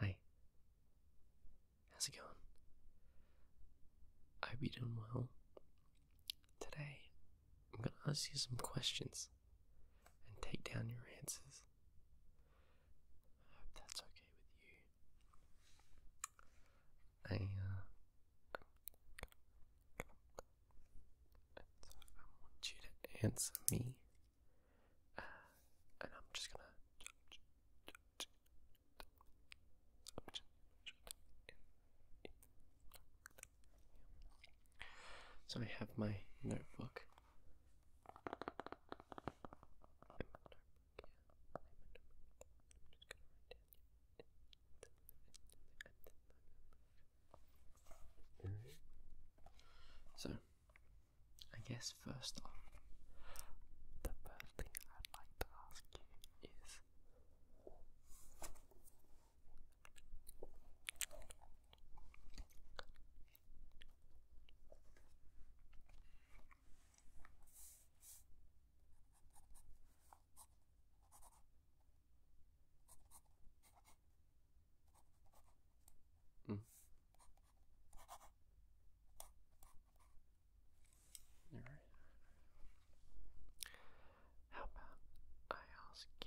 Hi. How's it going? I hope you doing well. Today, I'm going to ask you some questions and take down your answers. I hope that's okay with you. I, uh, I want you to answer me. Uh, and I'm just gonna. So I have my notebook. i so, I guess first off, the first thing I'd like to ask you is Mm. All right. How about I ask you?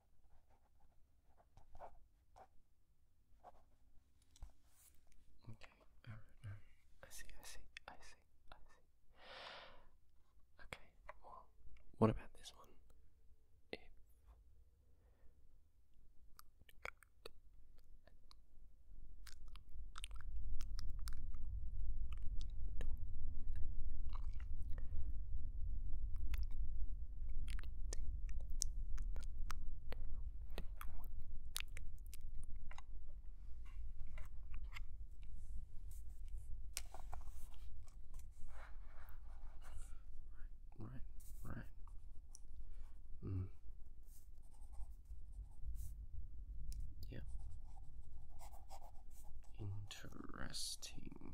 Okay, alright, I see, I see, I see, I see. Okay, well, what about this one? Right, right, right. Mm. Yeah. Interesting.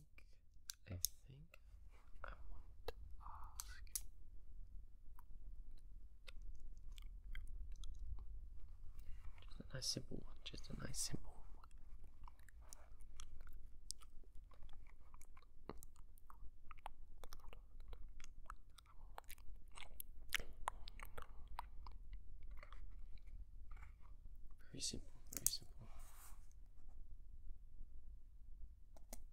I think I want to ask. Just a nice simple one, just a nice simple one. Very simple, very simple.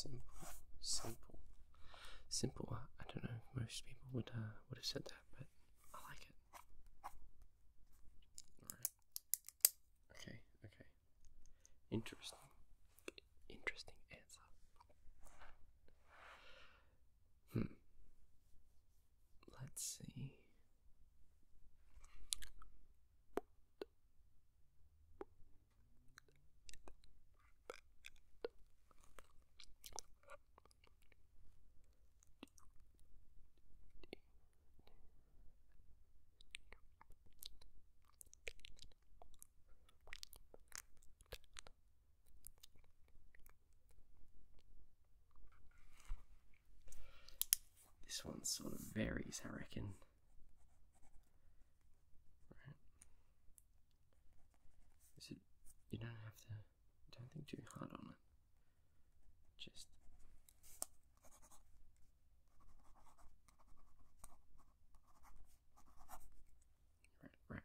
Simple, simple, simple. I don't know if most people would uh, would have said that, but I like it. Okay, okay. Interesting. Interesting answer. Hmm. Let's see. This one sort of varies, I reckon. This is, you don't have to, don't think too hard on it. Just right, right. Okay.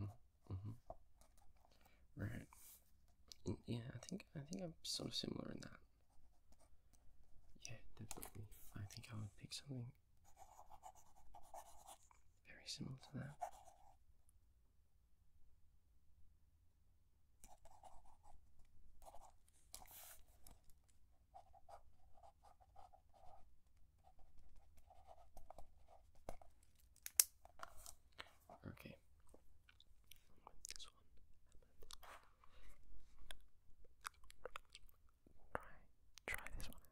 Mm-hmm. mm-hmm. Right. Mm, yeah, I think I think I'm sort of similar in that. Yeah, definitely. I think I would pick something very similar to that. Okay. try this one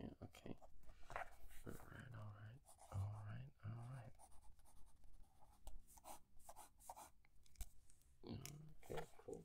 Okay, okay. All right, all right, all right, all right. Okay, cool.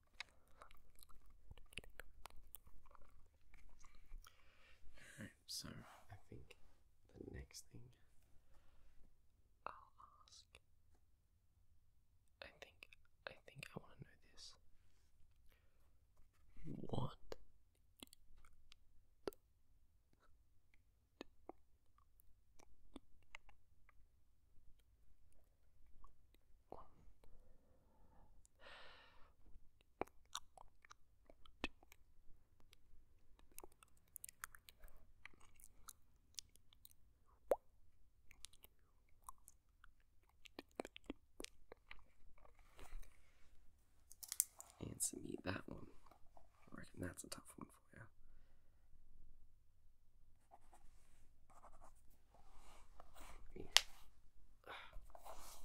Alright, so I think the next thing I'll ask. I think I think I want to know this. What one. Two. And some eat that one. I reckon that's a tough one for you.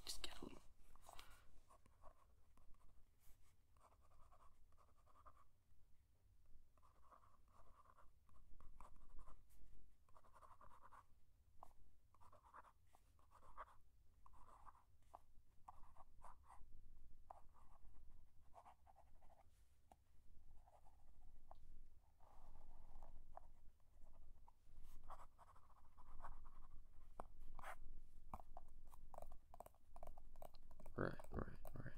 Just get a little. Right, right, right.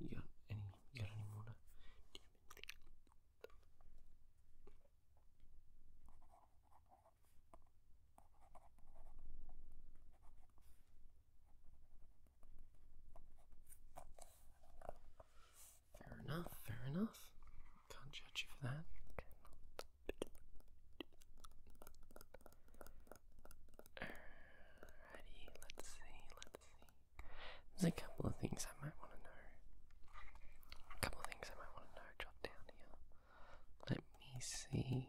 You any? got any more? Fair enough, fair enough. Can't judge you for that. Alrighty, let's see, let's see. There's a couple of things I might want to know. A couple things I might want to know. Drop down here. Let me see.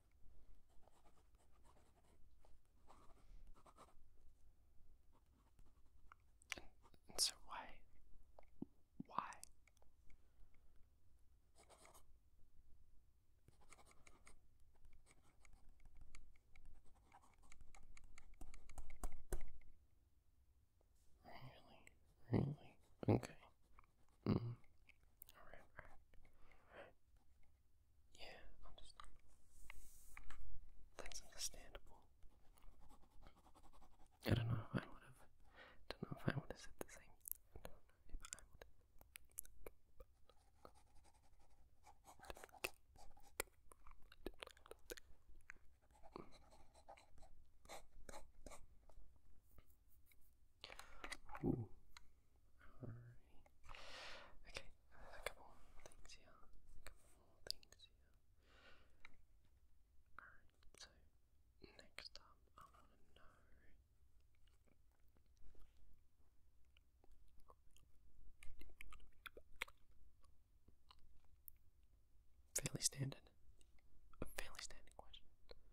And, so why? Why? Really? Really? Okay. Mm. All right, all right. Yeah, understandable. understandable. I don't know if I would have. Don't know if I would have said the same. Okay, a couple more things here. couple more things here. Alright, so next up I wanna know Fairly standard. A fairly standard question.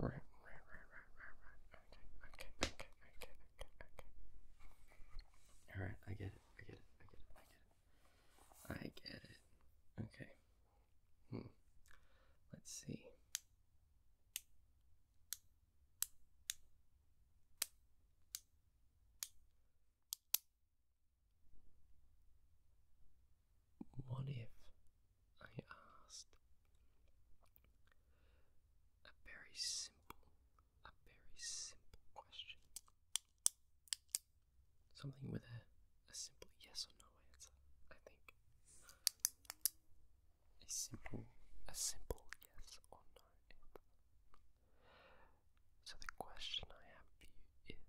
Right, right, right, right, right, right. Okay, okay, okay, okay, okay, okay. Alright, I get it, I get it, I get it, I get it. I get it. Okay. Hmm. Let's see. What if I asked a very simple, a very simple question? Something with a, a simple yes or no answer, I think a simple a simple yes or no So the question I have for you is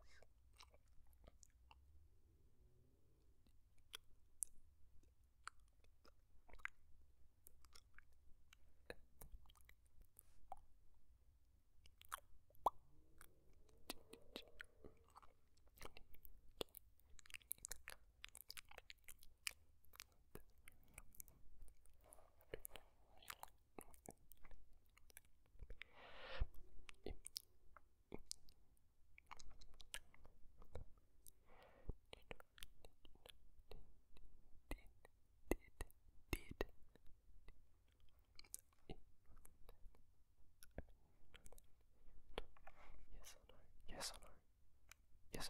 Yes or no? Yes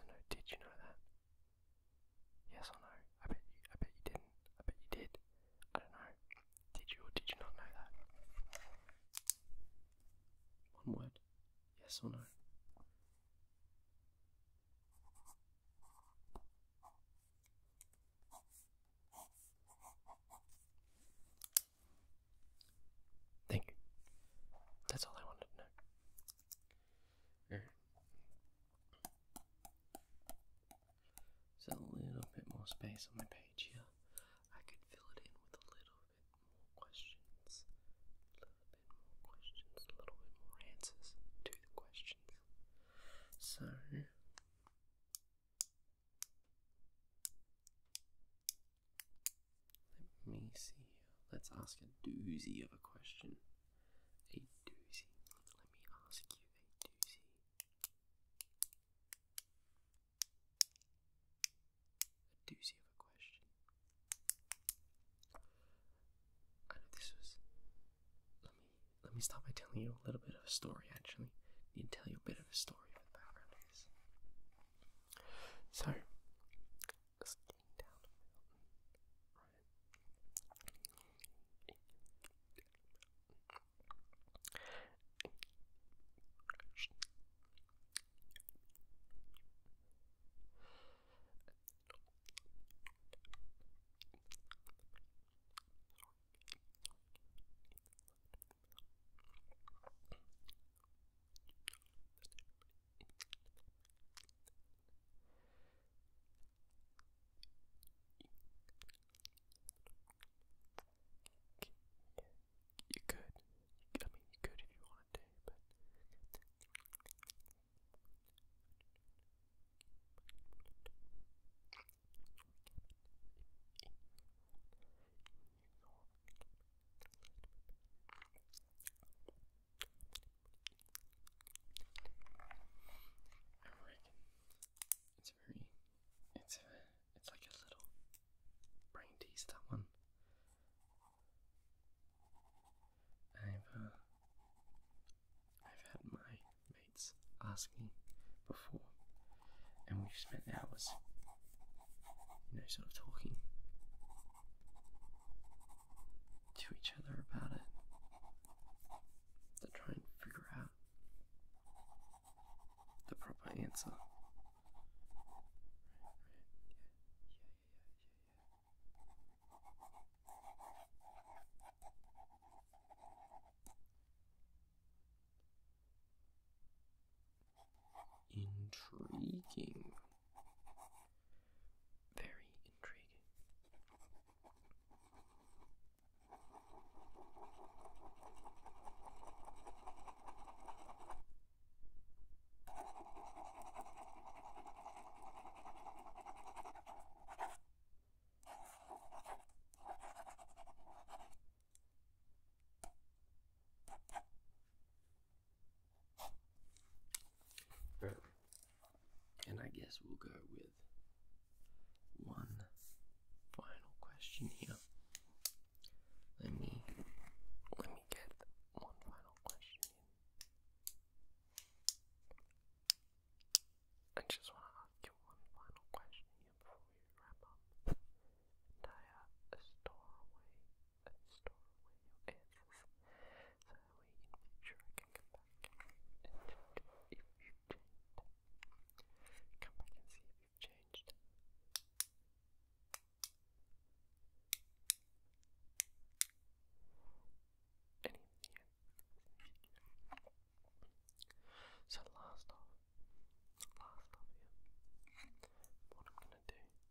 or no? Yes or no? Did you know that? Yes or no? I bet you. I bet you didn't. I bet you did. I don't know. Did you or did you not know that? One word. Yes or no? Think. That's all I wanted to know. All right. There's a little bit more space on my page here. I could fill it in with a little bit more questions. A little bit more questions, a little bit more answers to the questions. So. Let me see. Let's ask a doozy of a question. A doozy. Let me ask you a doozy. A doozy of a question. I know this was. Let me let me start by telling you a little bit of a story. Actually, I need to tell you a bit of a story for the background of So, walking down a mountain, right? Sorry, you could. I mean, you could if you wanted to, but it's very, it's it's like a little brain teaser that one. I've uh, I've had my mates ask me before, and we've spent hours, you know, sort of talking to each other about it to try and figure out the proper answer. Intriguing. Very intriguing. And I guess we'll go with one final question here. Let me let me get one final question in. I just want to ask you one final question here before we wrap up. And I uh, and store away your answers, so that way I can come back and check if you've changed. Come back and see if you've changed. Any of So last off, last off here, what I'm gonna do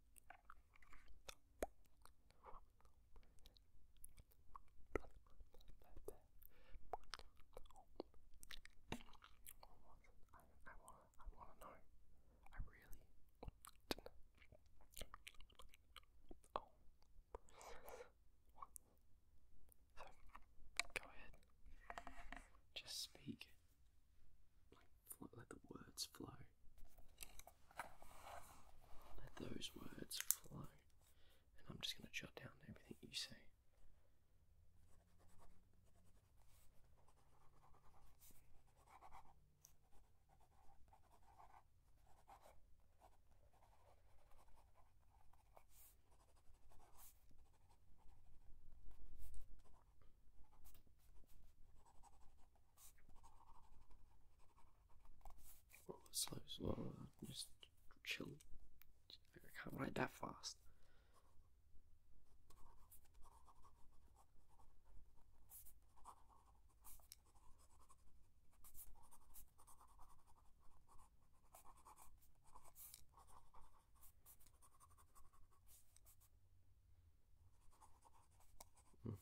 I wanna, I wanna know. I really So, go ahead. Just speak. Let the words flow. Let those words flow. And I'm just going to jot down everything you say. Well, slow, slow, just chill. I can't write that fast. Hmm.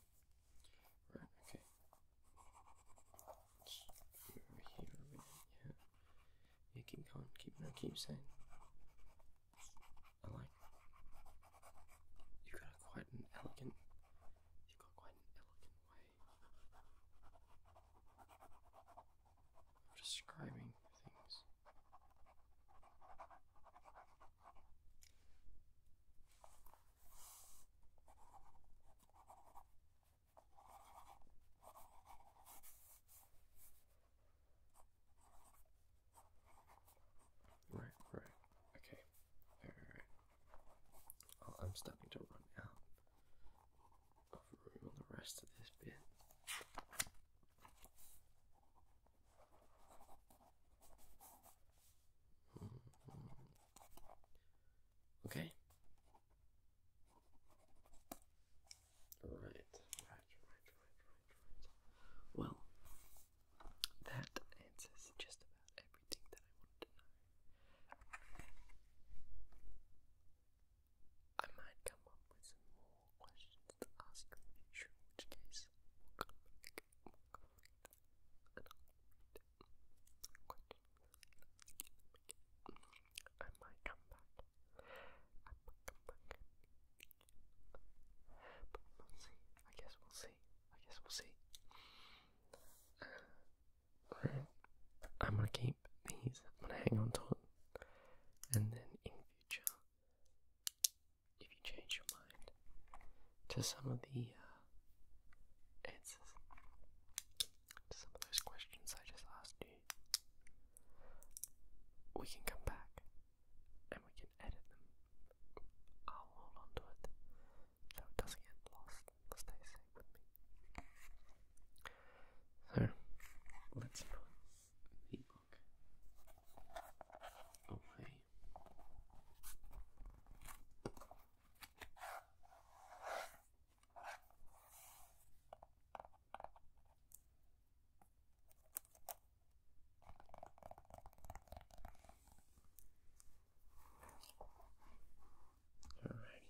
Right, okay. Let's move over here a minute, yeah. Yeah, keep going, keep no, keep saying. I like you've got quite an elegant you've got quite an elegant way of describing things. Right, right, okay, all right. Oh, I'm starting to run out of room on the rest of this bit. Okay. Right, Well, that answers just about everything that I wanted to know. I might come up with more questions to ask in future, in case i might come back. I might come back. But we'll see. I guess we'll see. I guess we'll see. Uh, I'm gonna keep these. I'm gonna hang on to it, and then in future if you change your mind to some of the uh, answers to some of those questions I just asked you, we can come back and we can edit them. I'll hold on it so it doesn't get lost. Stay safe with me. So let's the Oh, hey. Alrighty.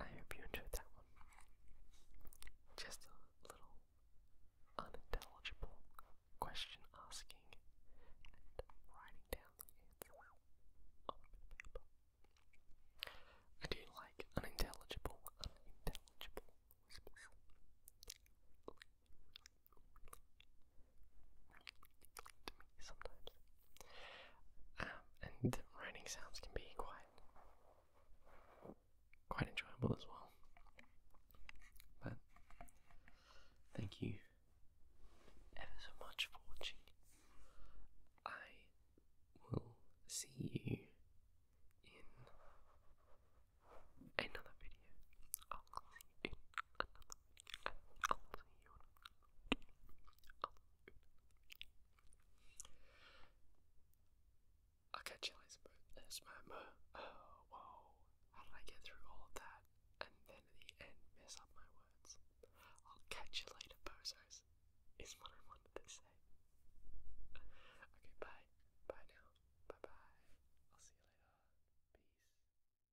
I hope you enjoyed that one. Just a little unintelligible question asking and writing down the answer on paper. I do like unintelligible, unintelligible whispers sometimes. Um, and writing sounds can be quite quite enjoyable as well. But thank you ever so much for watching. I will see you in another video. I'll see you Okay, chili's sperma. Oh, whoa. How did I get through all of that and then at the end mess up my words? I'll catch you later, bozos, is what I wanted to say. Okay, bye. Bye now. Bye bye. I'll see you later. Peace.